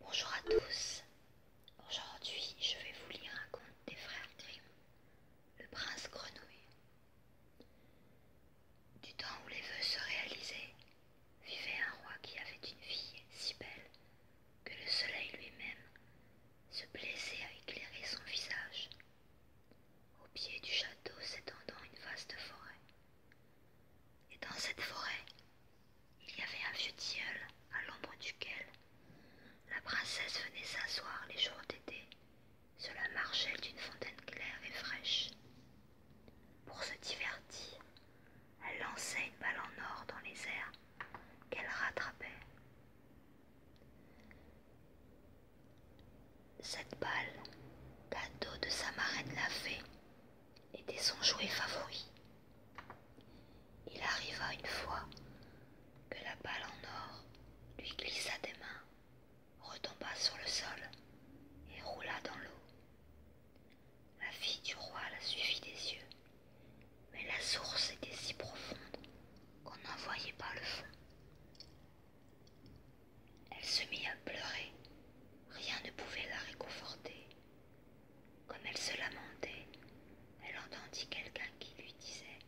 Bonjour à tous. Aujourd'hui, je vais vous lire un conte des frères Grimm, Le prince grenouille. Du temps où les vœux se réalisaient, vivait un roi qui avait une fille si belle que le soleil lui-même se plaisait à éclairer son visage au pied du château s'étendant une vaste forêt. Et dans cette forêt, il y avait un vieux tilleul à l'ombre duquel la princesse venait s'asseoir les jours d'été sur la marchelle d'une fontaine claire et fraîche. Pour se divertir, elle lançait une balle en or dans les airs qu'elle rattrapait. Cette balle, cadeau de sa marraine la fée, était son jouet favori. Il arriva une fois que la balle en or lui glissa des mains, retomba sur le sol et roula dans l'eau. La fille du roi la suivit des yeux, mais la source était si profonde qu'on n'en voyait pas le fond. Elle se mit à pleurer. Rien ne pouvait la réconforter. Comme elle se lamentait, elle entendit quelqu'un qui lui disait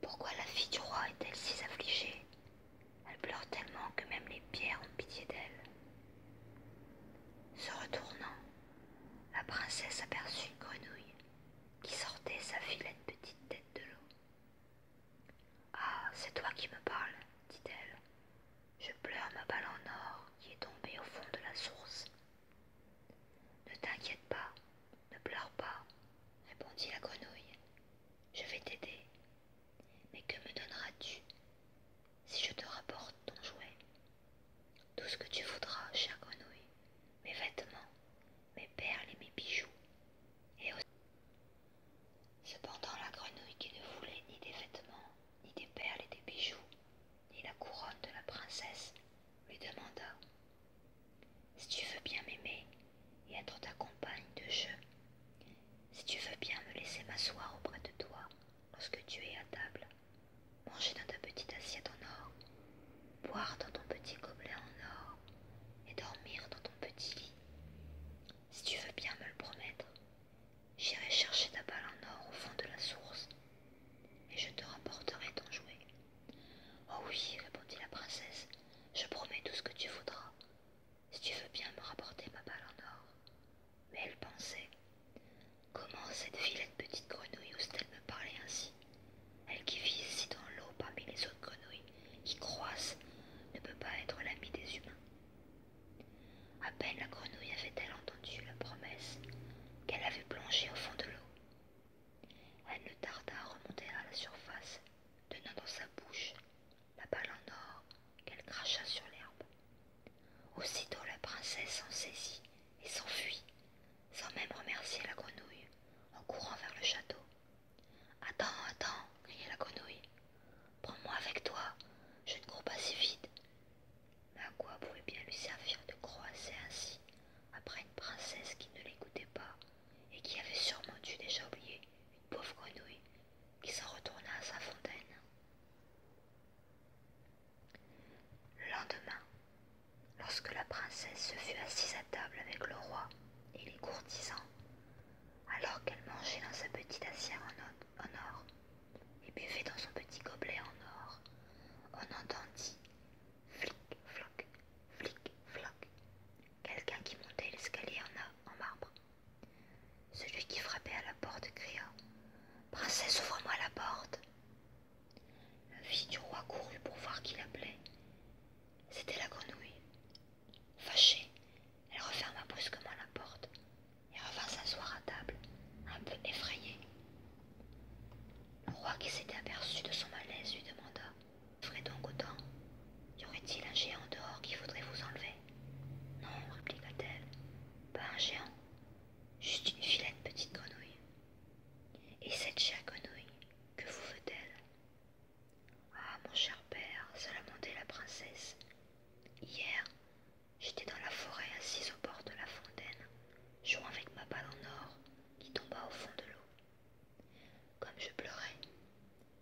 Pourquoi la fille du roi est-elle si affligée Elle pleure tellement que même les pierres ont pitié d'elle. Se retournant, la princesse aperçut grenouille qui sortait sa filette petite tête de l'eau. Ah, c'est toi qui me parles, dit-elle. Je pleure ma balle en or qui est tombée au fond de la source. Ne t'inquiète pas, ne pleure pas, répondit la grenouille. Je vais t'aider. Mais que me donneras-tu si je te rapporte ton jouet Tout ce que tu voudras, chère grenouille, mes vêtements, mes perles et mes bijoux. Et aussi... Cependant la grenouille qui ne voulait ni des vêtements, ni des perles et des bijoux, ni la couronne de la princesse, lui demanda Si tu veux bien m'aimer et être ta compagne de jeu, si tu veux bien me laisser m'asseoir auprès de toi lorsque tu es à table, manger dans ta petite assiette en or, boire dans ton petit gobelet en or et dormir dans ton petit lit. Si tu veux bien me le promettre, j'irai chercher ta balle en or au fond de la source et je te rapporterai ton jouet. Oh oui, répondit la princesse, je promets tout ce que tu voudras, si tu veux bien me rapporter ma balle en or. Mais elle pensait, comment cette vilaine petite grenouille ose-t-elle me parler ainsi elle qui vit ici dans l'eau parmi les autres grenouilles qui croissent ne peut pas être l'ami des humains. À peine la grenouille avait-elle entendu la promesse qu'elle avait plongée au fond de l'eau. Elle ne tarda à remonter à la surface, tenant dans sa bouche la balle en or qu'elle cracha sur l'herbe. Aussitôt la princesse s'en saisit et s'enfuit, sans même remercier la grenouille, en courant vers le château. Attends, attends, criait la grenouille. Prends-moi avec toi, je ne cours pas si vite. Mais à quoi pouvait bien lui servir de croiser ainsi, après une princesse qui ne l'écoutait pas, et qui avait sûrement dû déjà oublier une pauvre grenouille, qui s'en retourna à sa fontaine. Le lendemain, Lorsque la princesse se fut assise à table avec le roi et les courtisans, alors qu'elle mangeait dans sa petite assiette en or et buvait dans son petit gobelet en or, on entendit flic-floc, flic-floc, quelqu'un qui montait l'escalier en, en marbre. Celui qui frappait à la porte cria Princesse, ouvre-moi la porte la fille du roi courut pour voir qui l'appelait. C'était la grenouille. Fâchée, elle referma brusquement la porte et revint s'asseoir à table, un peu effrayée. Le roi qui s'était aperçu de son malaise lui demanda Ferez donc autant Y aurait-il un géant dehors qui voudrait vous enlever Non, répliqua-t-elle, pas un géant, juste une filette petite grenouille. Et cette chère grenouille, que vous veut-elle Ah, mon cher père, se la princesse. Hier, j'étais dans la forêt assise au bord de la fontaine, jouant avec ma balle en or qui tomba au fond de l'eau. Comme je pleurais,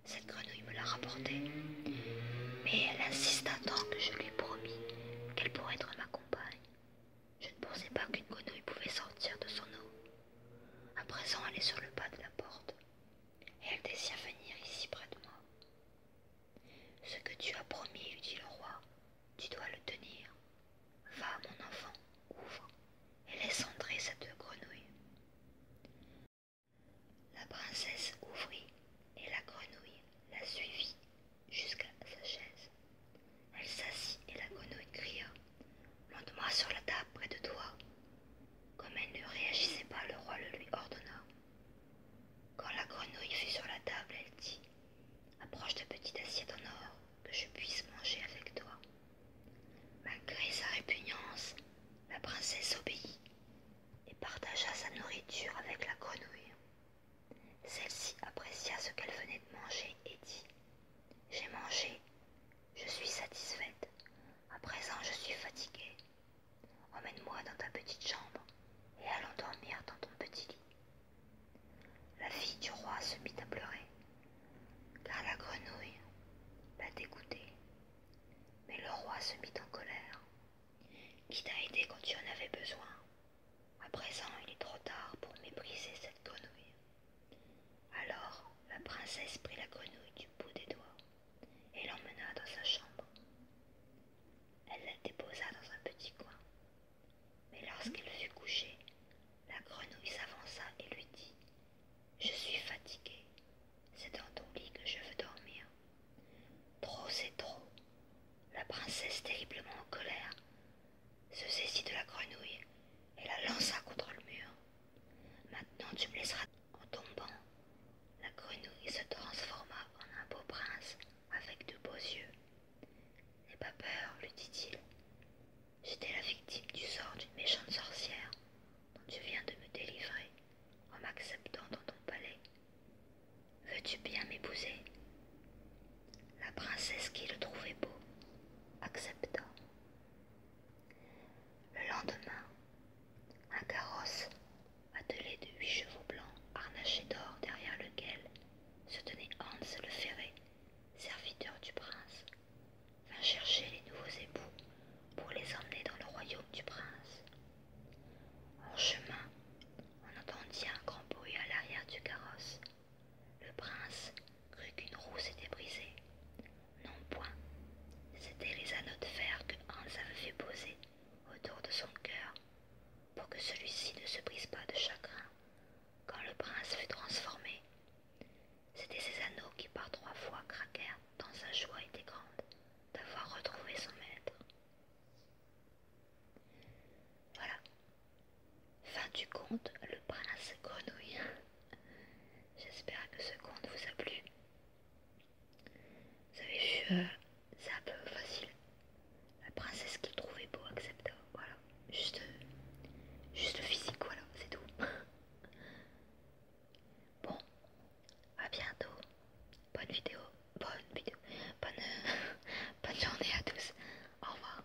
cette grenouille me l'a rapportée, mais elle insista tant que je lui ai promis qu'elle pourrait être ma compagne. Je ne pensais pas qu'une grenouille pouvait sortir de son eau. À présent, elle est sur le bas de la porte, et elle désire venir ici près de moi. Ce que tu as promis, lui dit le roi, tu dois le tenir. Va, mon enfant, ouvre, et laisse entrer cette grenouille. La princesse ouvrit, et la grenouille la suivit jusqu'à sa chaise. Elle s'assit et la grenouille cria « moi sur la table près de toi. Comme elle ne réagissait pas, le roi le lui ordonna. Quand la grenouille fut sur la table, elle dit Approche de petite assiette en or que je puisse manger avec toi. Malgré sa répugnance, la princesse obéit et partagea sa nourriture avec la grenouille. Celle-ci apprécia ce qu'elle venait de manger et dit J'ai mangé, je suis satisfaite. À présent, je suis fatiguée. Emmène-moi dans ta petite chambre et allons dormir dans ton petit lit. La fille du roi se mit à pleurer, car la grenouille la dégoûtée. Mais le roi se mit en colère. Qui t'a aidé quand tu en avais besoin À présent, il est trop tard pour mépriser cette grenouille. Alors la princesse prit la grenouille du bout des doigts et l'emmena dans sa chambre. Elle la déposa dans un petit coin. Mais lorsqu'elle fut couchée, la grenouille s'avança et lui dit Je suis fatiguée. C'est dans ton lit que je veux dormir. Trop, c'est trop. La princesse, terriblement en colère, se saisit de la grenouille et la lança contre le mur. Maintenant tu me laisseras en tombant. La grenouille se transforma en un beau prince avec de beaux yeux. N'aie pas peur, lui dit-il. J'étais la victime du sort d'une méchante sorcière dont tu viens de me délivrer en m'acceptant dans ton palais. Veux-tu bien m'épouser La princesse qui le trouvait beau accepta le lendemain, un carrosse attelé de huit chevaux blancs harnachés d'or derrière lequel se tenait Hans le ferré, serviteur du prince, vint chercher les nouveaux époux pour les emmener dans le royaume du prince. En chemin, on entendit un grand bruit à l'arrière du carrosse le prince crut qu'une roue s'était brisée. Non point. C'étaient les anneaux de fer que Hans avait fait poser autour de son cœur pour que celui-ci ne se brise pas de chagrin quand le prince fut transformé. C'étaient ces anneaux qui par trois fois craquèrent dans sa joie était grande d'avoir retrouvé son maître. Voilà, Fin du conte, le prince grenouille. J'espère que ce conte vous a plu. Vous avez vu, euh, c'est un peu facile. La princesse qui trouvait beau accepta. Voilà, juste, juste physique, voilà, c'est tout. Bon, à bientôt. Bonne vidéo, bonne vidéo, bonne, bonne journée à tous. Au revoir.